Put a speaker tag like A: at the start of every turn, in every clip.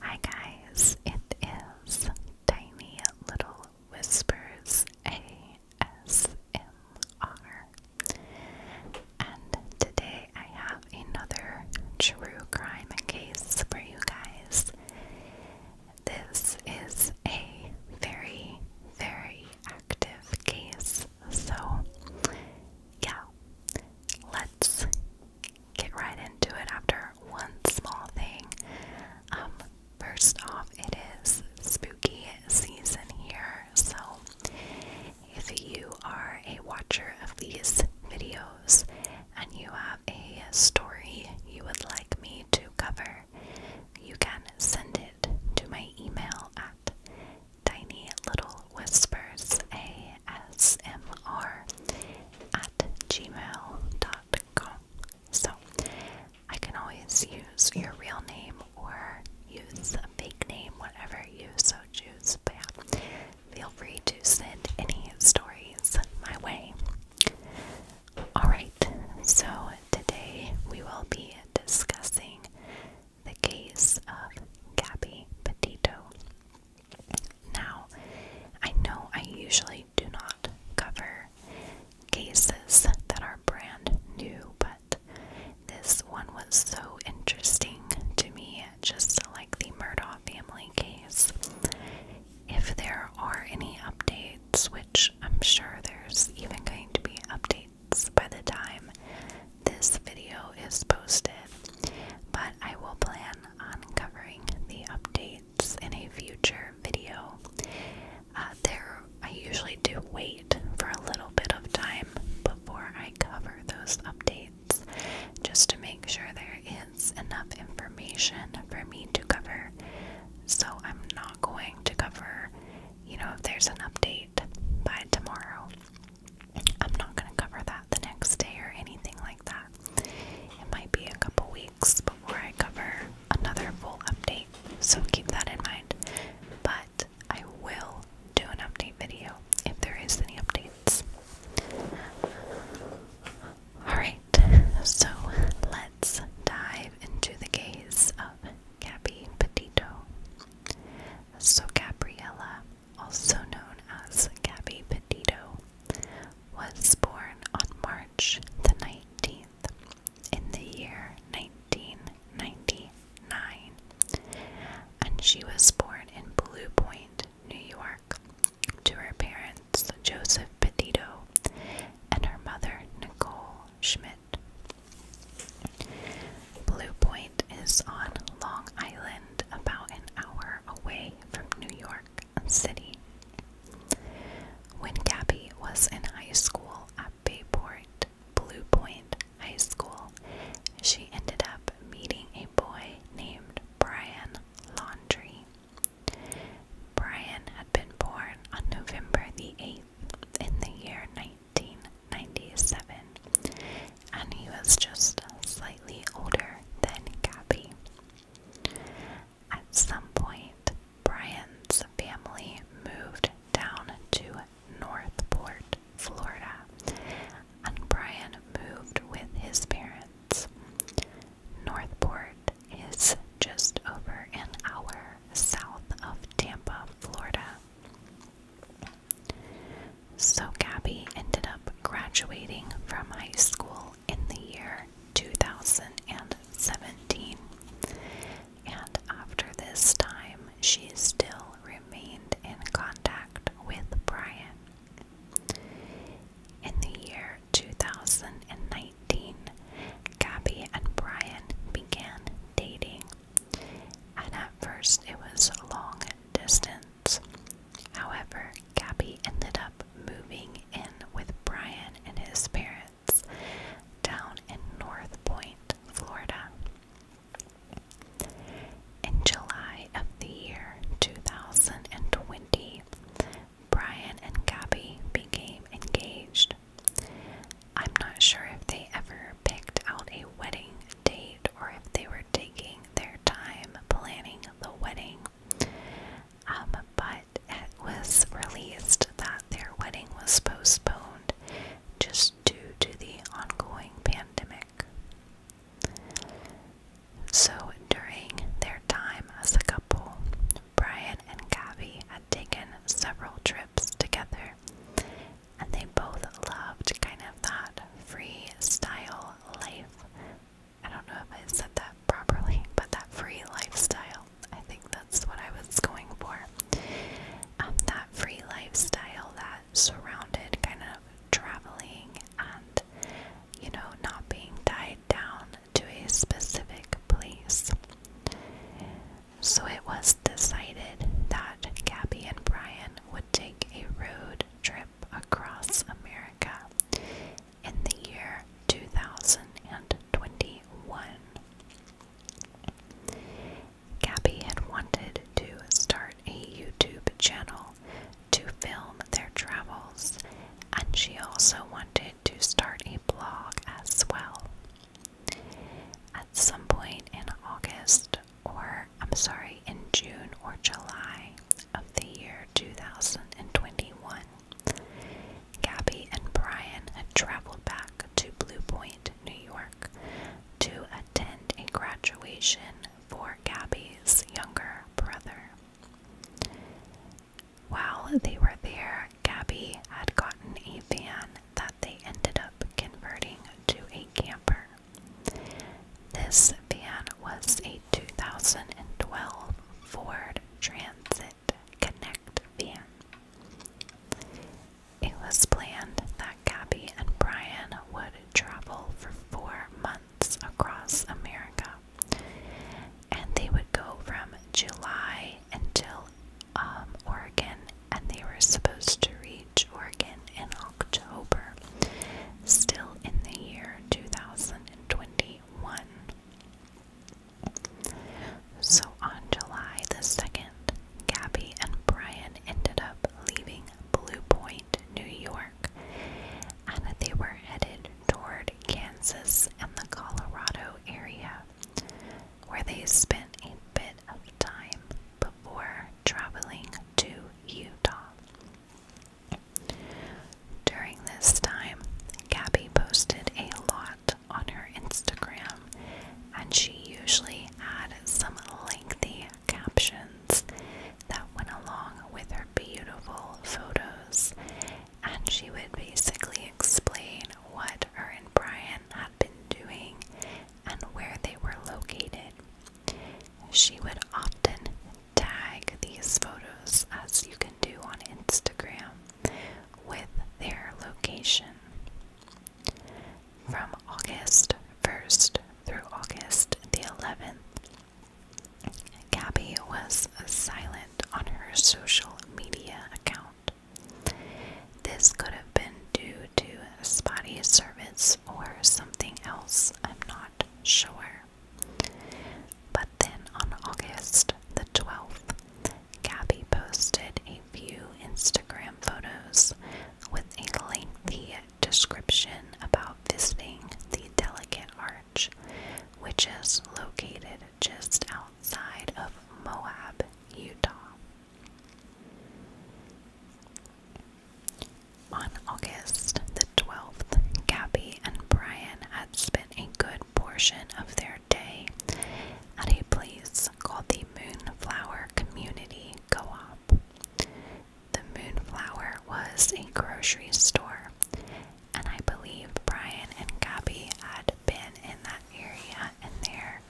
A: Hi guys, it is Tiny Little Whispers ASMR. And today I have another true crime case for you guys. This is a very, very active case, so yeah, let's get right into it after one small thing. Um, first off, it is spooky season here, so if you are a watcher of these videos and you have a story you would like me to cover, you can send it to my email at tiny little whispersaSMR at gmail.com. So I can always use your real name or use a fake name, whatever you so choose. But yeah, feel free to send any stories my way. Alright, so today we will be discussing the case of Gabby Petito. Now, I know I usually do not cover cases that are brand new, but this one was so interesting to me, just like the Murdaugh family case. If there are any updates, which I'm sure there's even going to be updates by the time this video is posted, but I will plan on covering the updates in a future video. Uh, there, I usually do wait for a little bit of time before I cover those updates just to make sure there is enough information for me to cover. So I'm not going to cover, you know, if there's an update by tomorrow. I'm not going to cover that the next day or anything like that. It might be a couple weeks before I cover another full update, so keep that in mind. But I will do an update video if there is any updates. Alright, so let's dive into the case of Gabby Petito. So, Gabriella also known as Gabby Petito, was born on March the 19th in the year 1999, and she was born in Blue Point, New York, to her parents Joseph Petito and her mother Nicole Schmidt. Blue Point is on Long Island, about an hour away from New York City. When Gabby was in high school at Bayport Blue Point High School, she ended up meeting a boy named Brian Laundry. Brian had been born on November the 8th in the year 1997, and he was just slightly older than Gabby. At some point, Brian's family moved down to Northport, Florida, and Brian moved with his parents. Northport is just over an hour south of Tampa, Florida. So Gabby ended up graduating from high school in the year 2017. And after this time, she still remained in contact with Brian. In the year 2019, Gabby and Brian began dating and at first it was a long distance. However, Gabby ended up moving in with Brian and his parents down in North Point, Florida. In July of the year 2020, Brian and Gabby became engaged. I'm not sure if they ever picked out a wedding date or if they were taking their time planning the wedding. Um, but it was released that their wedding was postponed just due to the ongoing pandemic. So during their time as a couple, Brian and Gabby had taken several trips together and they both loved kind of that free style life. I don't know if I said that properly, but that free lifestyle. I think that's what I was going for. Um, that free lifestyle that surrounded kind of traveling and, you know, not being tied down to a specific place. So it was decided that Gabby and Brian would would take a road trip across America in the year 2021. Gabby had wanted to start a YouTube channel to film their travels, and she also wanted to start a blog as well. At some point in August or I'm sorry, in June or July of the year 2021, Gabby and Brian had traveled back to Blue Point, New York to attend a graduation for Gabby's younger brother. While they were there, Gabby had gotten a van that they ended up converting to a camper. This van was a 2012 Ford Transit Connect van. It was planned that Gabby and Brian would travel for four months across America, and they would go from July until um, Oregon, and they were supposed to reach Oregon in October, still in the year 2021. So on July the 2nd, Gabby and Brian ended up leaving Blue Point, New York, and they were headed toward Kansas and the Colorado area, where they spent a bit of time before traveling to Utah. During this time, Gabby posted a lot on her Instagram, and she usually had some lengthy captions that went along with her beautiful photos, and she would basically explain what her and Brian had been doing and where they were located. She would often tag these photos, as you can do on Instagram, with their location. From August 1st through August the 11th, Gabby was silent on her social media account. This could have been due to spotty service or something else, I'm not sure. But then on August the 12th, Gabby posted a few Instagram photos with a lengthy description about visiting the Delicate Arch, which is located just outside of Moab, Utah. On August the 12th, Gabby and Brian had spent a good portion of their day at a place called the Moonflower Community Co op. The Moonflower was a grocery store, and I believe Brian and Gabby had been in that that area and they're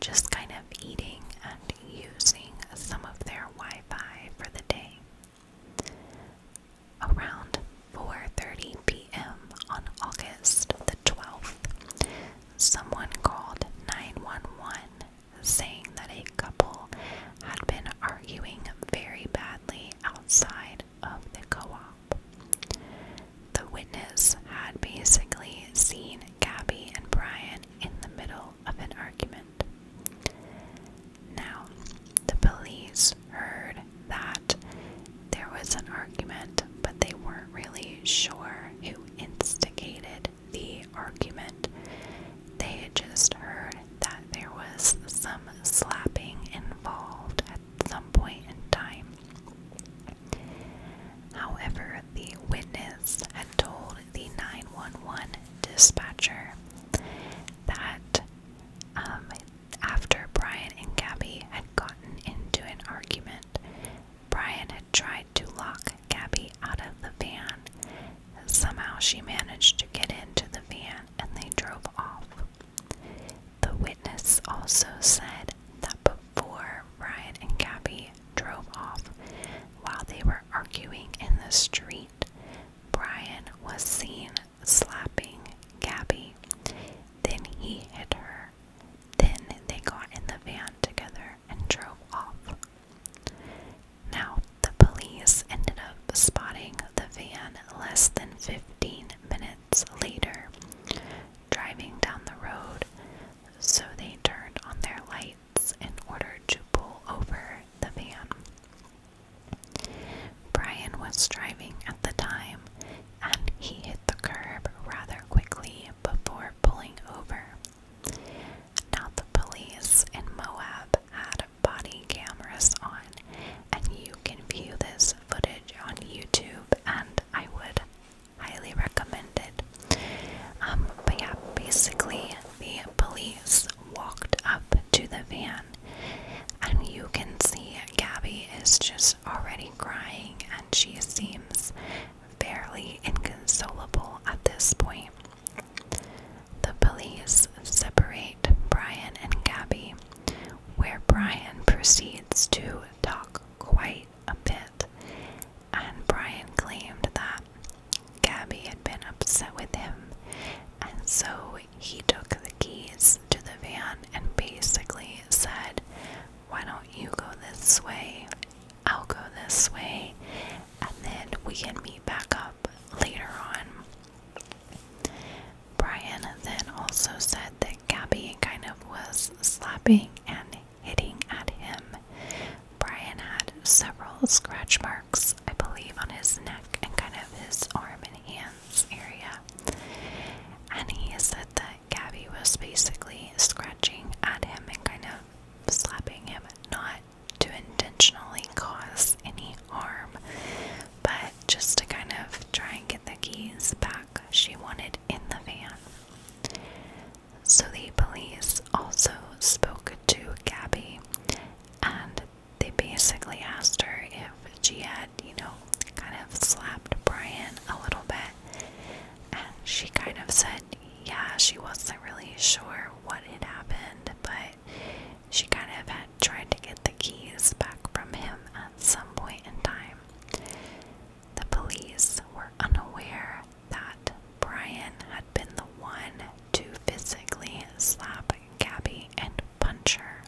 A: just kind of eating and using some of their Wi-Fi for the day. Around 4:30 p.m. on August the 12th, someone called 911 saying that a couple had been arguing very badly outside of the co-op. The witness had basically seen Gabby and Brian in the middle of an argument. Now, the police heard that there was an argument, but they weren't really sure who instigated the argument. They had just heard that there was some slapping involved at some point in time. However, the witness had told the 911 dispatcher that um, after Brian and Gabby had gotten into an argument, Brian had tried to lock Gabby out of the van. Somehow she managed to get into the van and they drove off. The witness also said that four, Brian and Gabby drove off. While they were arguing in the street, Brian was seen slapping Gabby. Then he hit her. Then they got in the van together and drove off. Now, the police ended up spotting the van less than 15 minutes later, driving down the road, so they turned on their lights in order to pull over the van. Brian was driving at the time, and he hit the curb rather quickly before pulling over. Now, the police in Moab had body cameras on, and you can view this footage on YouTube, and I would highly recommended. Um, but yeah, basically, the police walked up to the van, and you can see Gabby is just already crying, and she seems fairly inconsolable at this point. The police separate Brian and Gabby, where Brian proceeds to talk quite a bit, and Brian claimed that Gabby had been upset with him, and so he took the keys to the van and basically said, Why don't you go this way? I'll go this way, and then we can meet back up later on. Brian then also said they Gabby kind of was slapping and hitting at him. Brian had several scratch marks, I believe, on his neck and kind of his arm and hands area. And he said that Gabby was basically scratching at him and kind of slapping him, not to intentionally cause any harm, but just to kind of try and get the keys back. She wanted died in the van. So the police also spoke to Gabby and they basically asked her if she had, you know, kind of slapped Brian a little bit. And she kind of said, yeah, she wasn't really sure what had happened, but she kind of had tried to get the keys back from him at some point in time. The police were unaware that Brian had been the one to physically slap Gabby and punch her.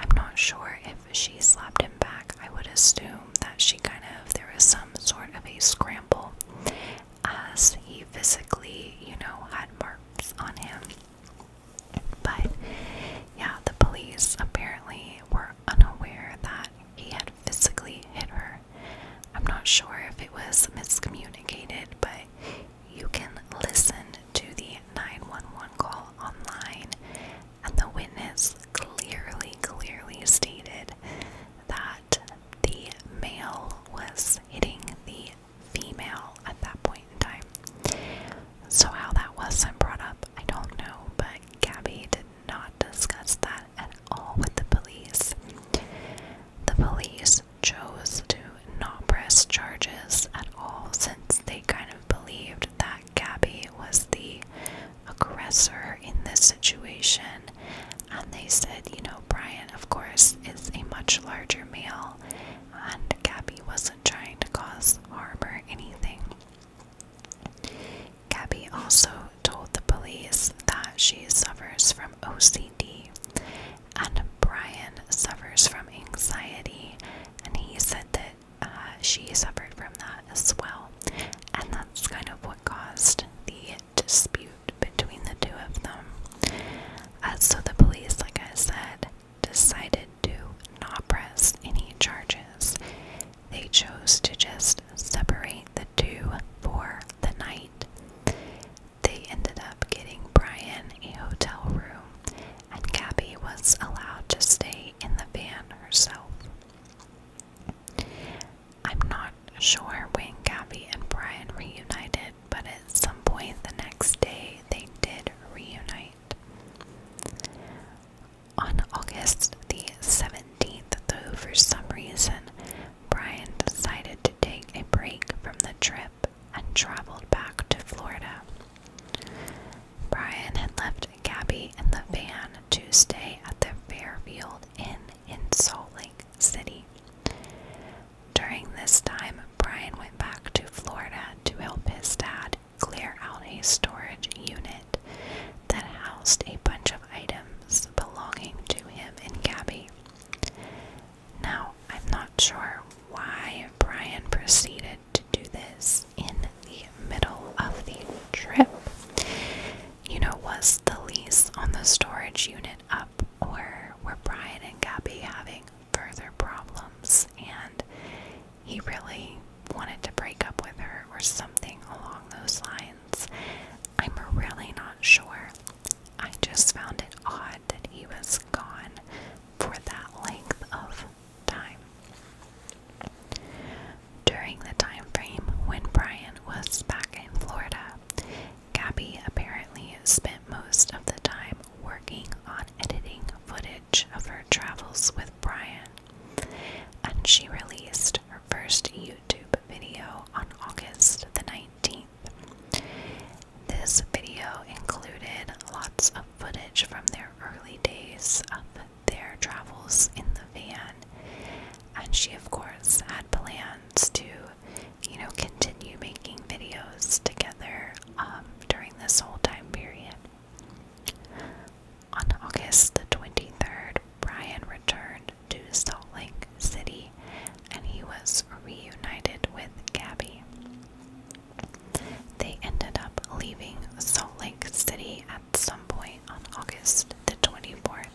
A: I'm not sure if she slapped him back. I would assume that she kind of, there was some sort of a scramble as he physically, you know, had marks on him. But yeah, the police apparently were unaware that he had physically hit her. I'm not sure if it was miscommunicated, but you can listen to the 911 call online, and the witness clearly, clearly stated that the male was hitting the female at that point point in time. So, how that wasn't brought up, I don't know, but Gabby did not discuss that at all with the police. The police chose to not press charges at all since they kind of believed that Gabby was the aggressor in this situation. And they said, you know, Brian, of course, is a much larger male, and Gabby wasn't trying to cause harm or anything. Gabby also told the police that she suffers from OCD and Brian suffers from anxiety, and he said that uh, she suffered from that as well. And that's kind of what caused the dispute between the two of them. Uh, so the police, like I said, decided to not press any charges. They chose to just separate the two for the night. They ended up getting Brian a hotel room, and Gabby was allowed to stay in the van herself. I'm not sure when Gabby and Brian reunited, but at some point the next day they did reunite. On August the 17th, though, for some reason, Brian decided to take a break from the trip and traveled back to Florida. Brian had left Gabby in the van to stay at the Fairfield Inn in Salt Lake City. During this time, Brian went back to Florida to help his dad clear out a storage unit that housed a bunch of items belonging to him and Gabby. Now, I'm not sure why Brian proceeded to do this in the middle of the trip. You know, was the lease on the storage unit up, or were Brian and Gabby having further problems, and he really wanted to break up with her or something along those lines. I'm really not sure. I just found it odd that he was gone for that length of time. During the time frame when Brian was back in Florida, Gabby apparently spent most of the time working on editing footage of her travels with Brian, and she released her first YouTube video on August the 19th. This video included lots of footage from their early days of their travels in the van, and she, of course, had plans to, you know, continue making videos together um, during this whole time period. On August the 23rd, Brian returned to Salt Lake City and he was reunited with Gabby. They ended up leaving Salt Lake City at some point on August the 24th.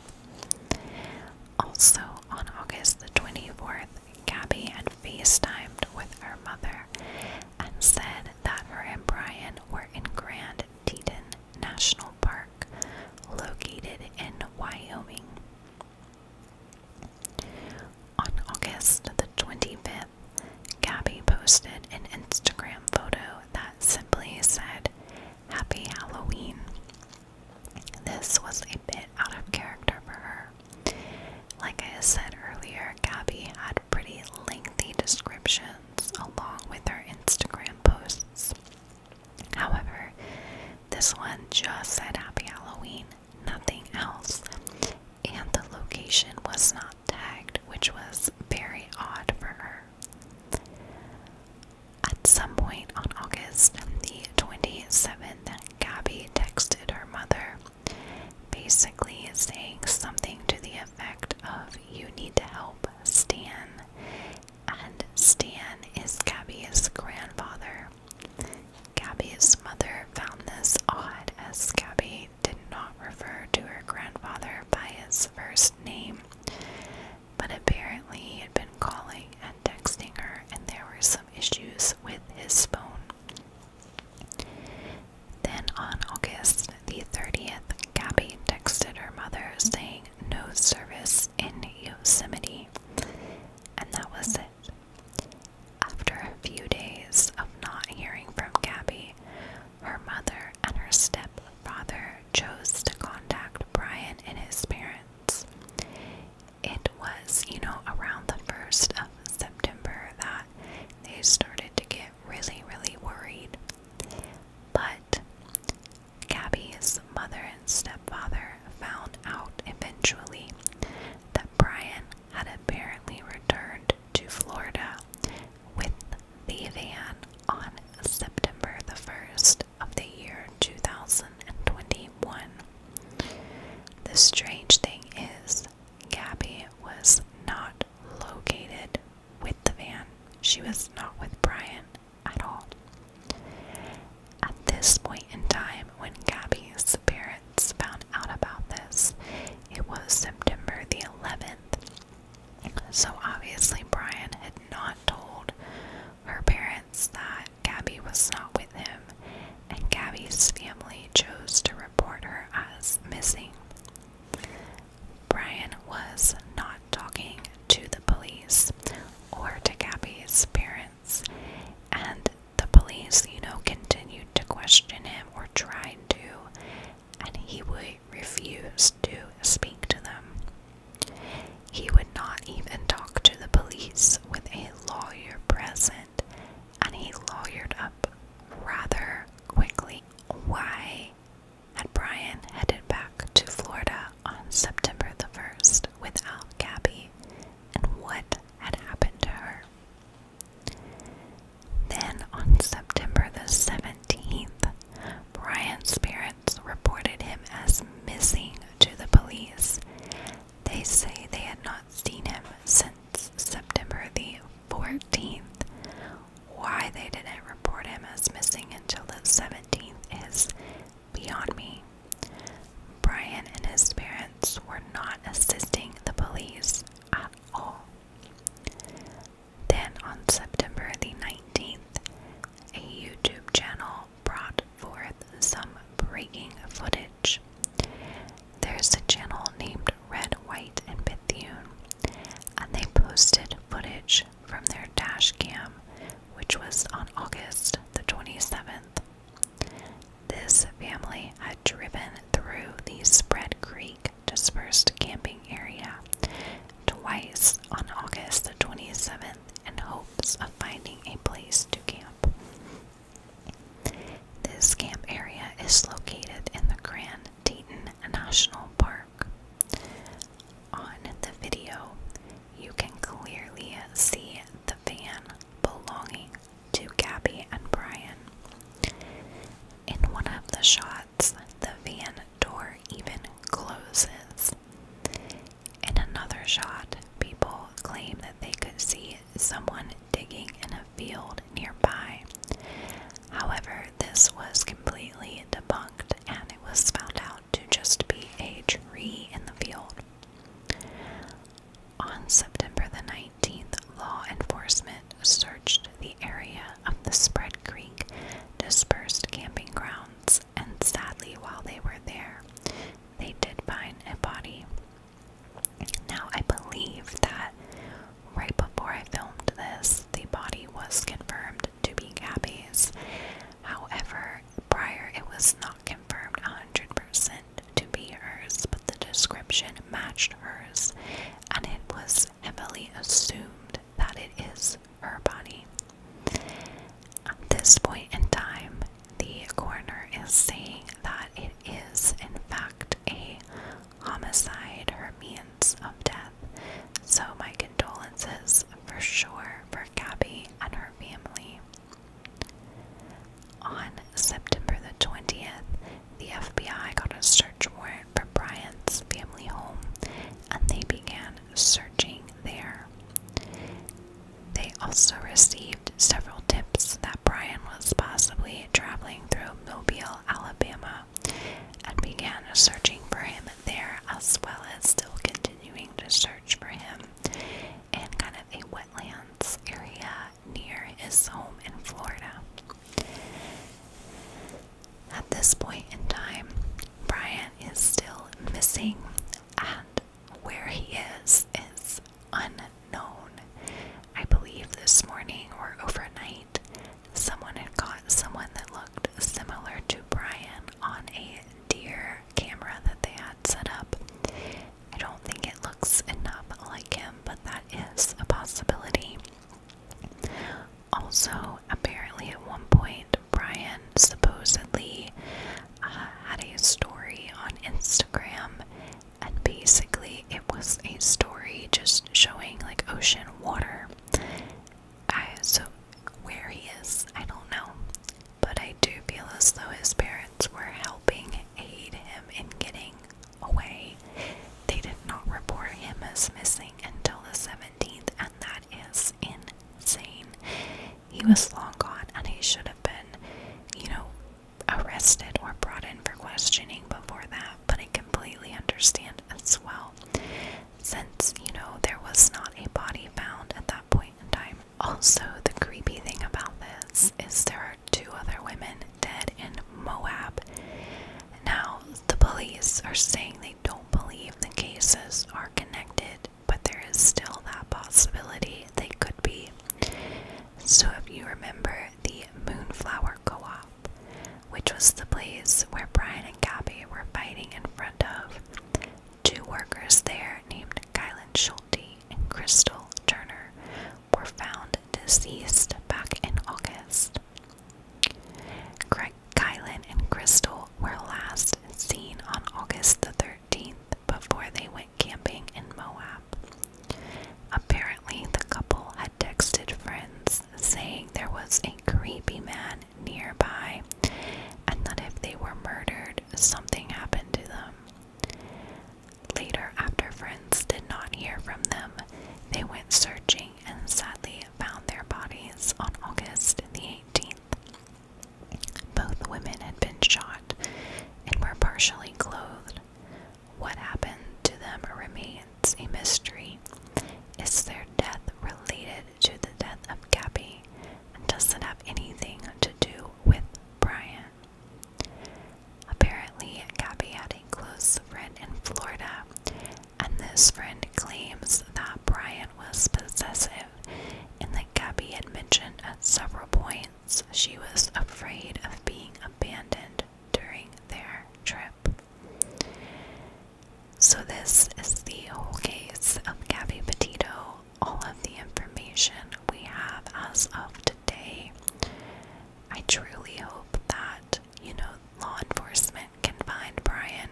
A: Also, on August the 24th, Gabby had FaceTimed with her mother and said that her and Brian were in Grand Teton National Park, located in Wyoming. On August the 25th, Gabby posted an Instagram photo that simply said, Happy Halloween. This was a bit out of character for her, like I said earlier, Gabby had pretty lengthy descriptions along with her Instagram posts. However, this one just said Happy Halloween, nothing else, and the location was not tagged, which was very odd for her. At some point on August the 27th, Gabby texted her mother basically saying something to the effect of you need to help Stan. And Stan is Gabby's grandfather. Gabby's mother found this odd as Gabby did not refer to her grandfather by his first name, but apparently he had been calling and texting her, and there were some issues with his phone. Then on August the 30th, Gabby texted her mother saying no service in Yosemite. And that was it. After a few days of not hearing from Gabby, her mother and her stepfather chose to contact Brian and his parents it was, you know, around the 1st of September that they started to get really, really worried. But Gabby's mother and stepfather found out eventually that Brian had apparently returned to Florida with the van on September the 1st of the year 2021. The strange thing is, Gabby was not located with the van. She was not with Brian at all. At this point in time, when Gabby's parents found out about this, it was September the 11th. So obviously, Brian had not told her parents that Gabby was not with him, and Gabby's family chose to report her as missing. Brian was not talking to the police or to Gabby's parents, and the police, you know, continued to question him or tried to, and he would refuse to speak to them. He would not even talk to the police with a lawyer present and he lawyered up rather quickly. Why had Brian headed back to Florida on September the 1st without Gabby, and what had happened to her? Then on September the 17th, Brian's parents reported him as missing to the police, they say they had not seen him since September the 14th. Why they didn't report him as missing until the 17th is beyond me. Brian and his parents were not assisting the police at all. Then on September the 19th, a YouTube channel brought forth some breaking footage. There's a channel named Red, White, and Bethune, and they posted footage from their dash cam, which was on August the 27th. This family had driven through the Spread Creek dispersed camping area twice on August the 27th in hopes of finding a place to camp. This camp area is located in the Grand Teton National Park. On the video, you can clearly see the van belonging to Gabby and Brian. In one of the shots, the van door even closes. In another shot, people claimed that they could see someone digging in a field nearby. However, this was completely debunked and it was found out to just be a tree in the field. On September the 19th, law enforcement searched the area of the Spread Creek dispersed camping grounds, and sadly, while they were there, they did find a body. Now, I believe that right before I filmed this, the body was confirmed to be Gabby's. However, prior it was not confirmed 100% to be hers, but the description matched hers, and it was heavily assumed that it is her body. At this point in time, the coroner is saying that it is, in fact, a homicide her means of death. So, my condolences for sure for Gabby and her family. On September the 20th, the FBI got a search warrant for Bryant's family home and they began searching there. They also received several tips that Brian was possibly traveling through Mobile, Alabama, and began searching for him there, as well as still continuing to search for him in kind of a wetlands area near his home in Florida. At this point in time, Brian is still missing, and where he is is unknown. I believe this morning or overnight, someone had caught someone that looked similar to Brian on a deer camera that they had set up. I don't think it looks enough like him, but that is a possibility. Also, apparently, at one point, Brian supposedly uh, had a story on Instagram, and basically it was a story just showing like ocean water. I, so where he is, I don't know, but I do feel as though his parents were helping aid him in getting away. They did not report him as missing until the 17th, and that is insane he was long gone and he should have been, you know, arrested or brought in for questioning before that. But I completely understand as well, since, you know, there was not a body found at that point in time. Also, the creepy thing about this is there are two other women dead in Moab. Now, the police are saying they don't believe the cases are connected but there is still that possibility they could be. So, if you remember the Moonflower Co op, which was the place where Brian and Gabby were fighting in front of, two workers there named Kylan Schulte and Crystal Turner were found deceased back in August. Greg Kylan and Crystal were last seen on August the before they went camping in Moab. Apparently, the couple had texted friends saying there was a creepy man nearby and that if they were murdered, something happened to them. Later, after friends did not hear from them, they went searching and sadly found their bodies on August the 18th. Both women had been shot and were partially clothed. What happened to them remains a mystery. Is their death related to the death of Gabby? And does not have anything to do with Brian? Apparently, Gabby had a close friend in Florida, and this friend claims that Brian was possessive in the Gabby had mentioned at several points she was afraid of being abandoned during their trip. So, this is the whole case of Gabby Petito. All of the information we have as of today. I truly hope that, you know, law enforcement can find Brian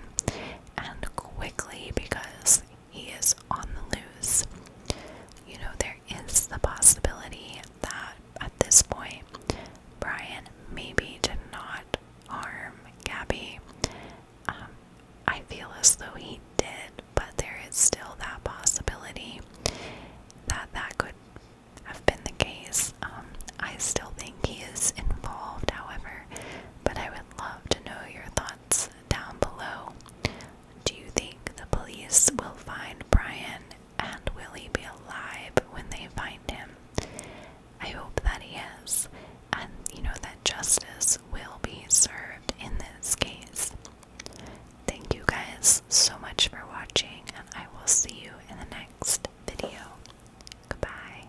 A: and quickly because he is on the loose. You know, there is the possibility that at this point, Brian maybe did not harm Gabby. Um, I feel as though he did, but there is still that possibility that that could have been the case. Um, I still think he is involved, however, but I would love to know your thoughts down below. Do you think the police will find Brian and will he be alive when they find him? I hope that he is, and you know that justice will be served in this case. Thank you guys so much for watching, and I will see you in the next video. Goodbye.